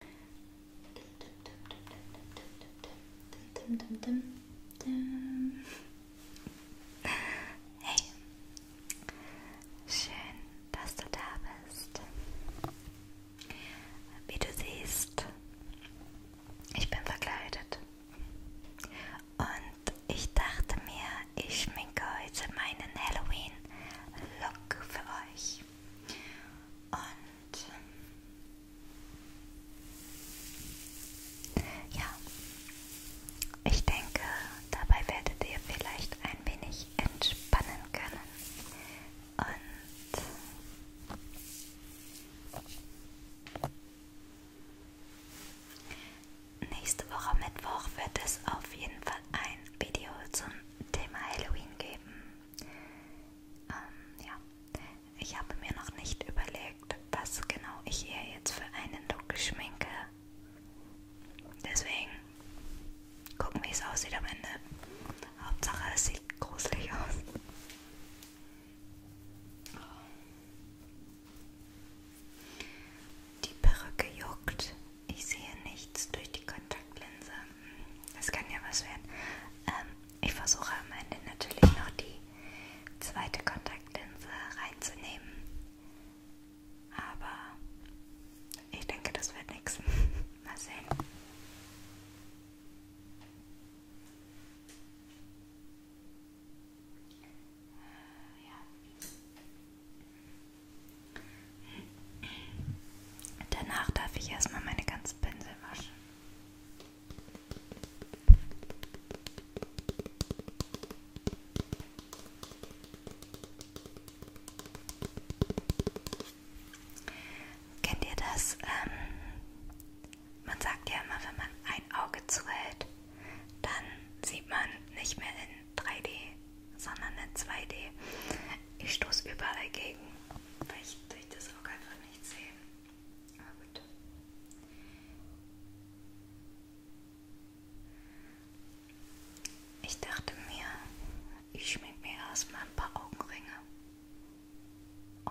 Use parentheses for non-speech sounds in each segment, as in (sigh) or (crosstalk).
Hey, schön, dass du da bist. Wie du siehst, ich bin verkleidet. Und ich dachte mir, ich schminke heute meinen Halloween-Look für euch. Und ja, ich denke, dabei werdet ihr vielleicht ein wenig entspannen können. Und Nächste Woche Mittwoch wird es auf jeden Fall ein Video zum Thema Halloween geben. Ähm, ja. Ich habe mir noch nicht überlegt, was genau ich hier jetzt für einen Look schminke. Deswegen gucken, wie es aussieht am Ende. Hauptsache, es sieht gruselig aus. Die Perücke juckt, ich sehe nichts durch die Kontaktlinse. Das kann ja was werden. Ähm, ich versuche am Ende natürlich noch die zweite Kontaktlinse reinzunehmen. Aber ich denke, das wird nichts. (laughs) Mal sehen. Äh, ja. Danach darf ich erstmal meine ganzen Pinsel waschen. Kennt ihr das? Ähm, man sagt ja immer, wenn man ein Auge zuhält, dann sieht man nicht mehr in 3D, sondern eine 2D. Ich stoße überall gegen, weil ich durch das Auge einfach nicht sehe. Aber gut. Ich dachte mir, ich schmink mir erstmal ein paar Augenringe. Oh.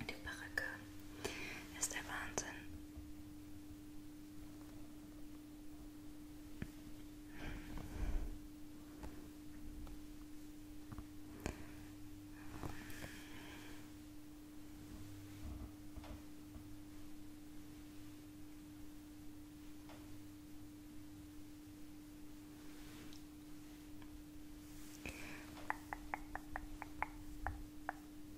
Die Baracke ist der Wahnsinn.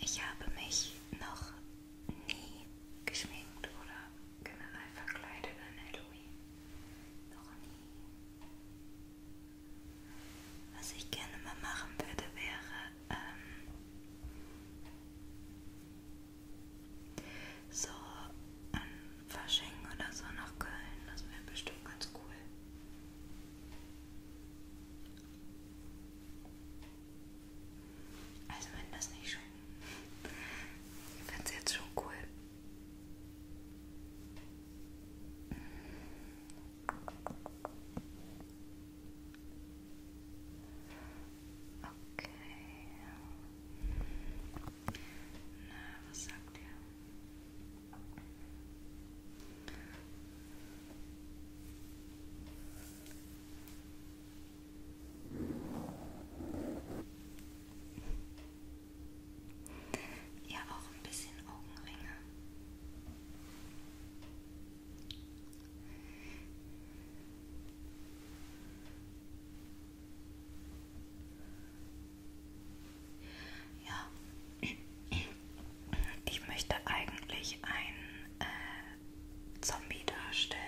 Ich habe mich noch nie geschminkt oder generell verkleidet an Halloween. Noch nie. Was ich gerne mal machen würde, wäre ähm, so an Fasching oder so nach Köln. Das wäre bestimmt ganz cool. Also wenn das nicht schon... Ich finde es jetzt schon cool. Okay. Na, was sagt ihr? Ja, auch ein bisschen Augenringe. Ja, ich möchte eigentlich einen äh, Zombie darstellen.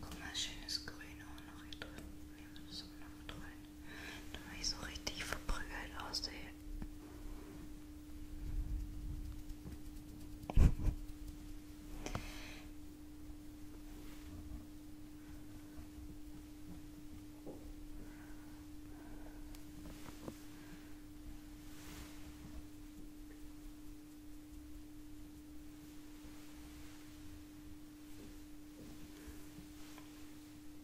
Guck mal, schönes Grün auch noch hier drin. Nehmen wir das auch noch mit rein damit ich so richtig verprügelt aussehe.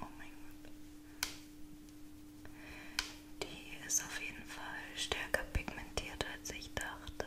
Oh mein Gott. Die ist auf jeden Fall stärker pigmentiert, als ich dachte.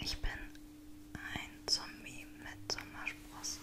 Ich bin ein Zombie mit Sommersprossen.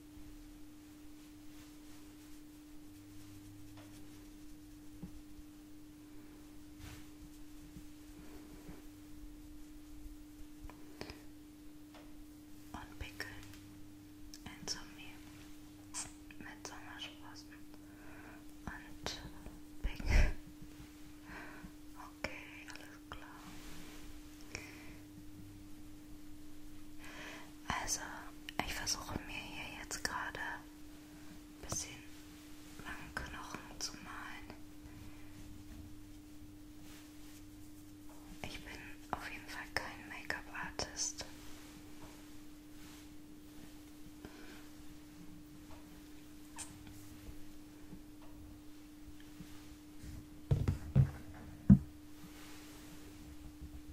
und pickeln in zum Mehl mit Sommersprossen und pickeln. (laughs) Okay, alles klar. Also, ich versuche mir hier jetzt gerade ein bisschen langen Knochen zu malen. Ich bin auf jeden Fall kein Make-up-Artist.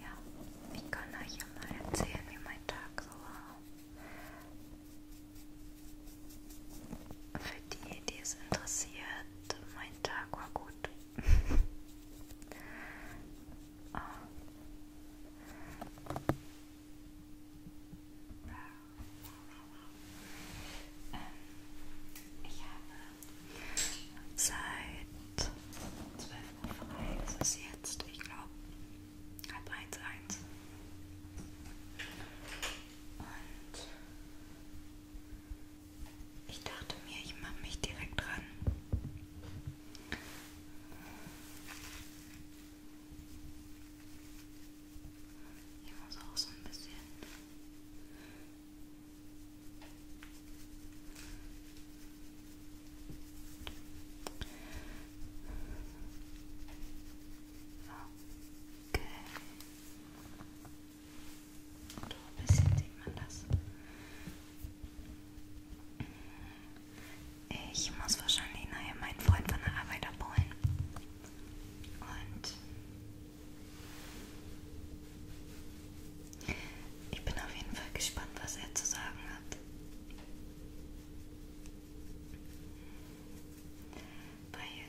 Ja, ich kann euch ja mal erzählen, wie mein Tag so war. Für die, die es interessiert, mein Tag war gut gut. oh. Ah. Ähm, ich habe seit 12 Uhr frei, es ist jetzt, ich glaube, halb eins, eins. Und ich dachte mir, ich mache mich direkt dran. Ich muss auch so ein bisschen. Okay. Oder ein bisschen sieht man das. Ich muss wahrscheinlich nachher meinen Freund von der Arbeit abholen. Und ich bin auf jeden Fall gespannt, was er zu sagen hat. Weil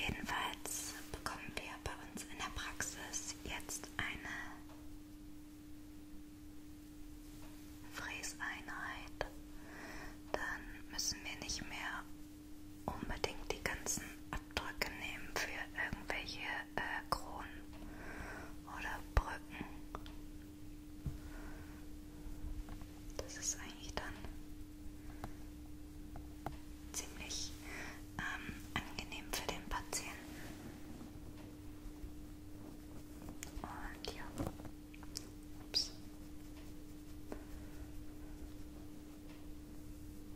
Jedenfalls bekommen wir bei uns in der Praxis jetzt eine Fräseinheit. Dann müssen wir nicht mehr unbedingt die ganzen Abdrücke nehmen für irgendwelche äh, Bergkronen oder Brücken. Das ist eigentlich dann ziemlich ähm, angenehm für den Patienten. Und ja. Ups.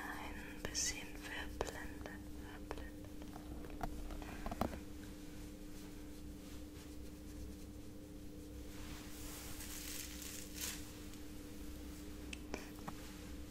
Ein bisschen verblendet, verblendet.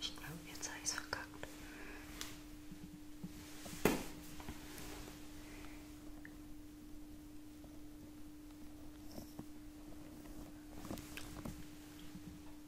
Ich glaube, jetzt habe ich es verkackt.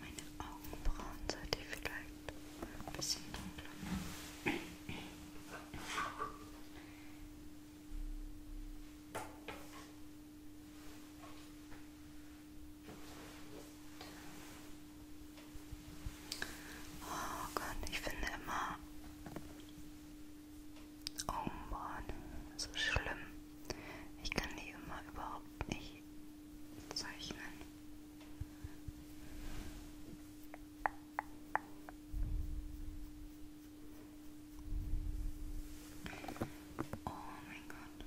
Meine Augenbrauen sollte ich vielleicht ein bisschen dunkler machen. Oh Gott, ich finde immer Oh Mann, so schlimm. Ich kann die immer überhaupt nicht zeichnen. Oh mein Gott.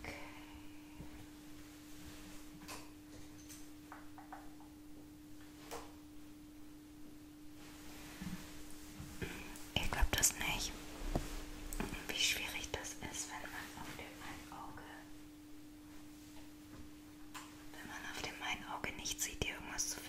Okay. Ihr glaubt das nicht, wie schwierig das ist, wenn man auf dem einen Auge wenn man auf dem einen Auge nicht sieht, hier irgendwas zu finden.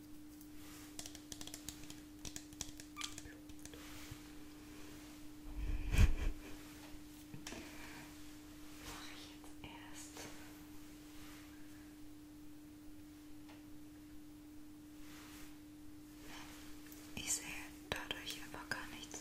Mache ich jetzt erst. Ich sehe dadurch aber gar nichts.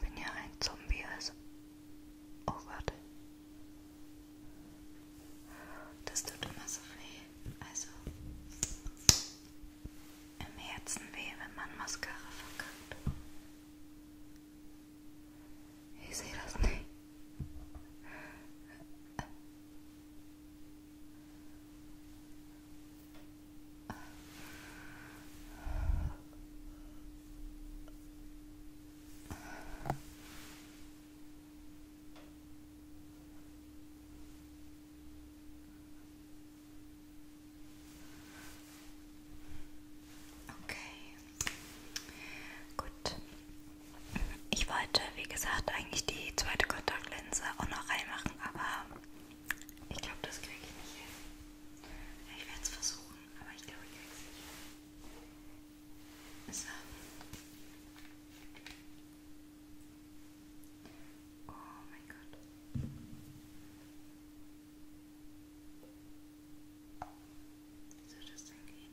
Wenn ihr ein Zombie ist. Oh Gott. Das tut immer so weh. Also im Herzen weh, wenn man Mascara verkackt. Ich sehe das nicht. Okay, gut. Ich wollte, wie gesagt, eigentlich die zweite Kontaktlinse auch noch reinmachen, aber ich glaube, das kriege ich nicht hin. Ich werde es versuchen, aber ich glaube, ich kriege es nicht. So. Oh mein Gott. Wie soll das denn gehen?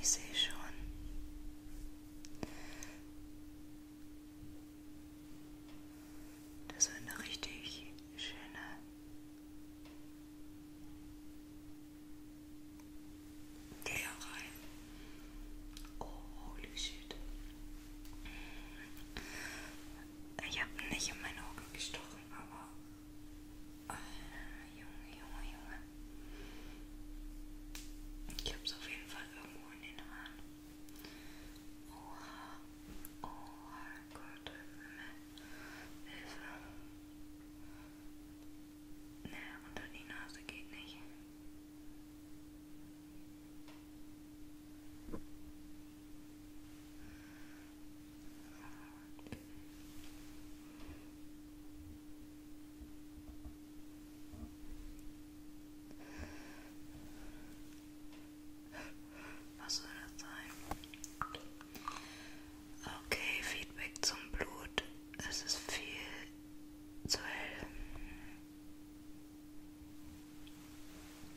Ich sehe schon. Das ist eine richtig schöne Geh rein. Oh, holy shit. Ich habe nicht in meine Augen gestochen, aber. Oh, Junge, Junge, Junge. Ich habe es auf jeden Fall irgendwo in den Haaren. Oha. Oha, Gott, Himmel. Hilfe. Ne, unter die Nase geht nicht. Was soll das sein? Okay, Feedback zum Blut. Es ist viel zu hell.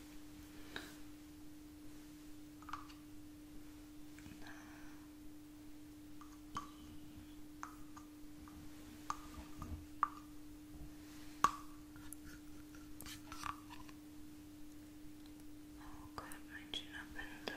Oh god, up and down.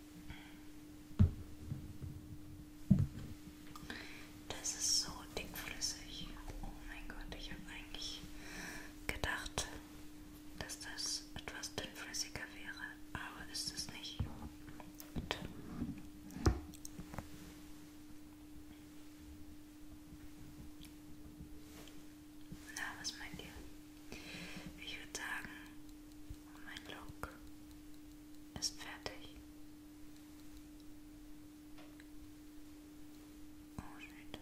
Das ist so dickflüssig. Oh mein Gott, ich habe eigentlich gedacht, dass das etwas dünnflüssiger wäre, aber ist es nicht. Gut. Na, was meint ihr? Ich würde sagen, und mein Look ist fertig. Oh shit.